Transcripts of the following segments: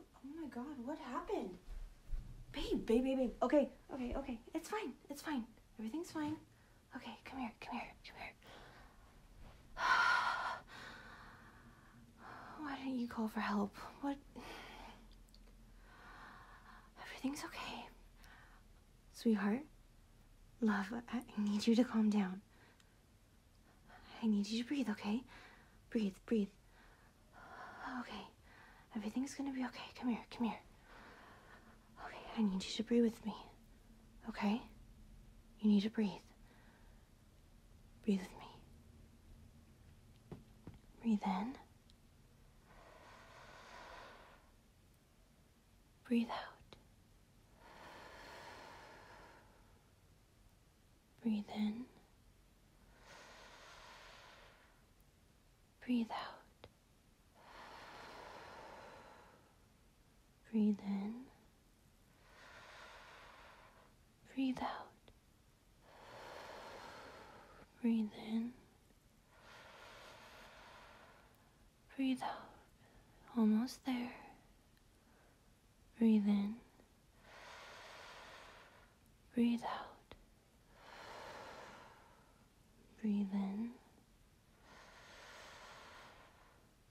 Oh my god, what happened? Babe, babe, babe, Okay, okay, okay. It's fine. It's fine. Everything's fine. Okay, come here, come here, come here. Why didn't you call for help? What? Everything's okay. Sweetheart, love, I need you to calm down. I need you to breathe, okay? Breathe, breathe. Okay. Everything's gonna be okay. Come here, come here. Okay, I need you to breathe with me. Okay? You need to breathe. Breathe with me. Breathe in. Breathe out. Breathe in. Breathe out. Breathe in. Breathe out. Breathe in. Breathe out. Almost there. Breathe in. Breathe out. Breathe in.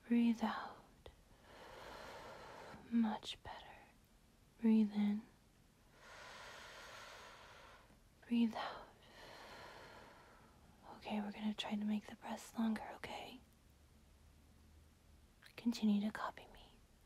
Breathe out. Much better. Breathe in. Breathe out. Okay, we're going to try to make the breaths longer, okay? Continue to copy me.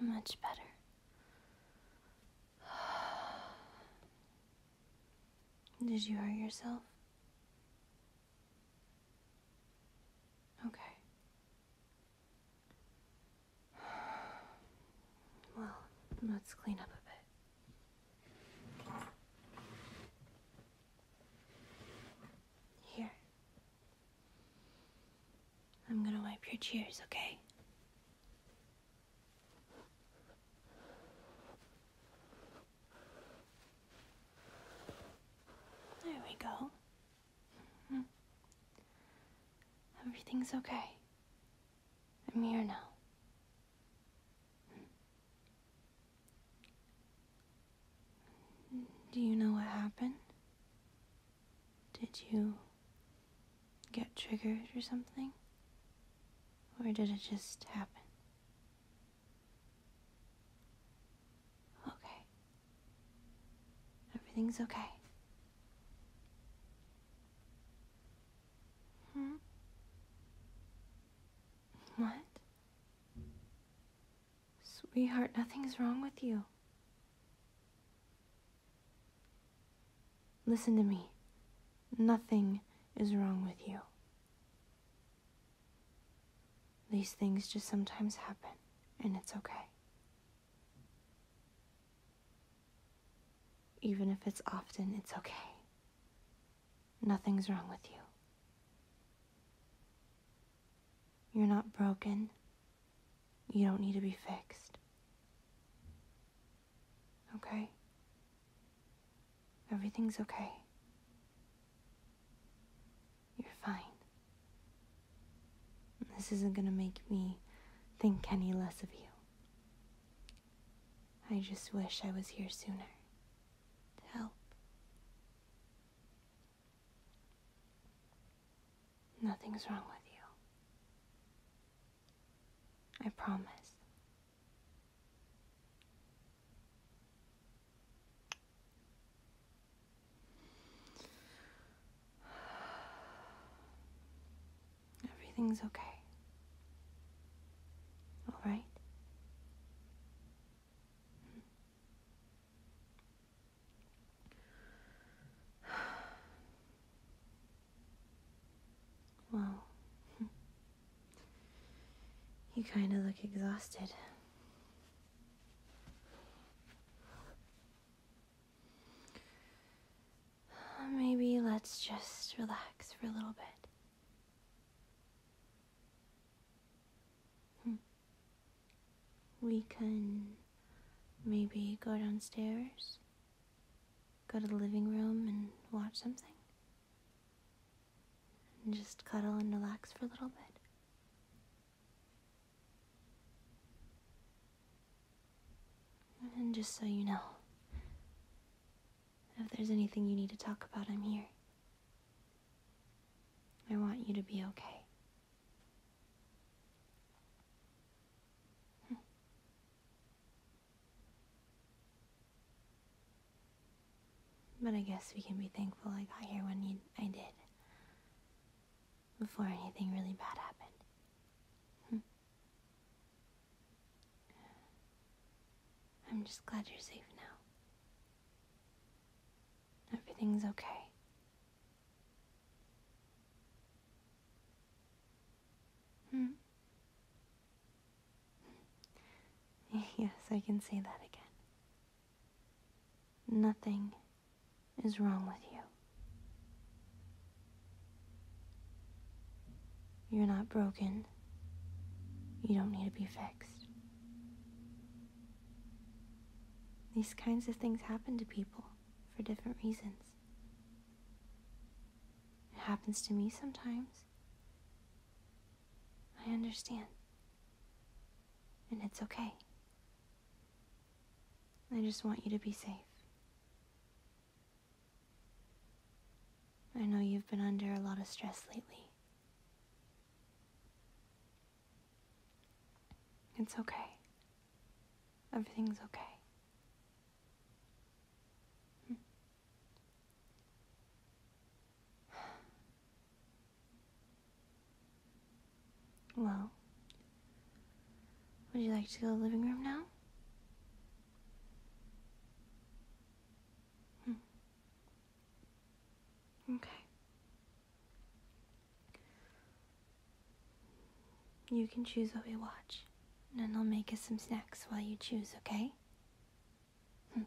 Much better. Did you hurt yourself? Okay. Well, let's clean up a bit. Here. I'm gonna wipe your tears, okay? There we go. Mm-hmm. Everything's okay. I'm here now. Mm-hmm. Do you know what happened? Did you get triggered or something? Or did it just happen? Okay. Everything's okay. Hmm? What? Sweetheart, nothing's wrong with you. Listen to me. Nothing is wrong with you. These things just sometimes happen, and it's okay. Even if it's often, it's okay. Nothing's wrong with you. You're not broken. You don't need to be fixed. Okay? Everything's okay. You're fine. This isn't gonna make me think any less of you. I just wish I was here sooner help. Nothing's wrong with you. I promise. Everything's okay. All right? Wow. You kind of look exhausted. Maybe let's just relax for a little bit. Hmm. we can Maybe go downstairs, go to the living room and watch something. And just cuddle and relax for a little bit. And just so you know, if there's anything you need to talk about, I'm here. I want you to be okay. Hmm. But I guess we can be thankful I got here when I did. Before anything really bad happened. Hmm. I'm just glad you're safe now. Everything's okay. Hmm. Yes, I can say that again. Nothing is wrong with you. You're not broken. You don't need to be fixed. These kinds of things happen to people for different reasons. It happens to me sometimes. I understand. And it's okay. I just want you to be safe. I know you've been under a lot of stress lately. It's okay. Everything's okay. Hmm. Well, would you like to go to the living room now? Hmm. Okay. You can choose what we watch, and then I'll make us some snacks while you choose, okay? Hmm.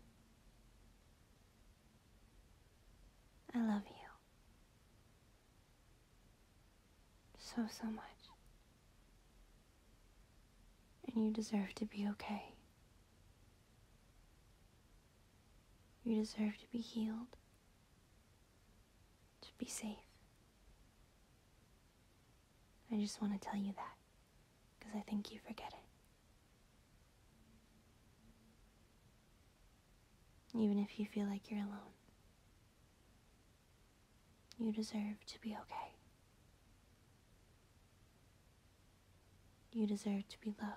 I love you. So, so much. And you deserve to be okay. You deserve to be healed to be safe. I just want to tell you that because I think you forget it. Even if you feel like you're alone, you deserve to be okay. You deserve to be loved.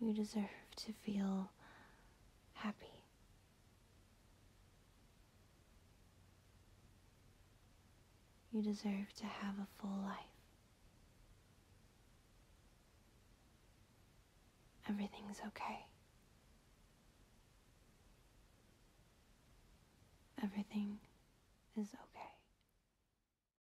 You deserve to feel happy. You deserve to have a full life. Everything's okay. Everything is okay.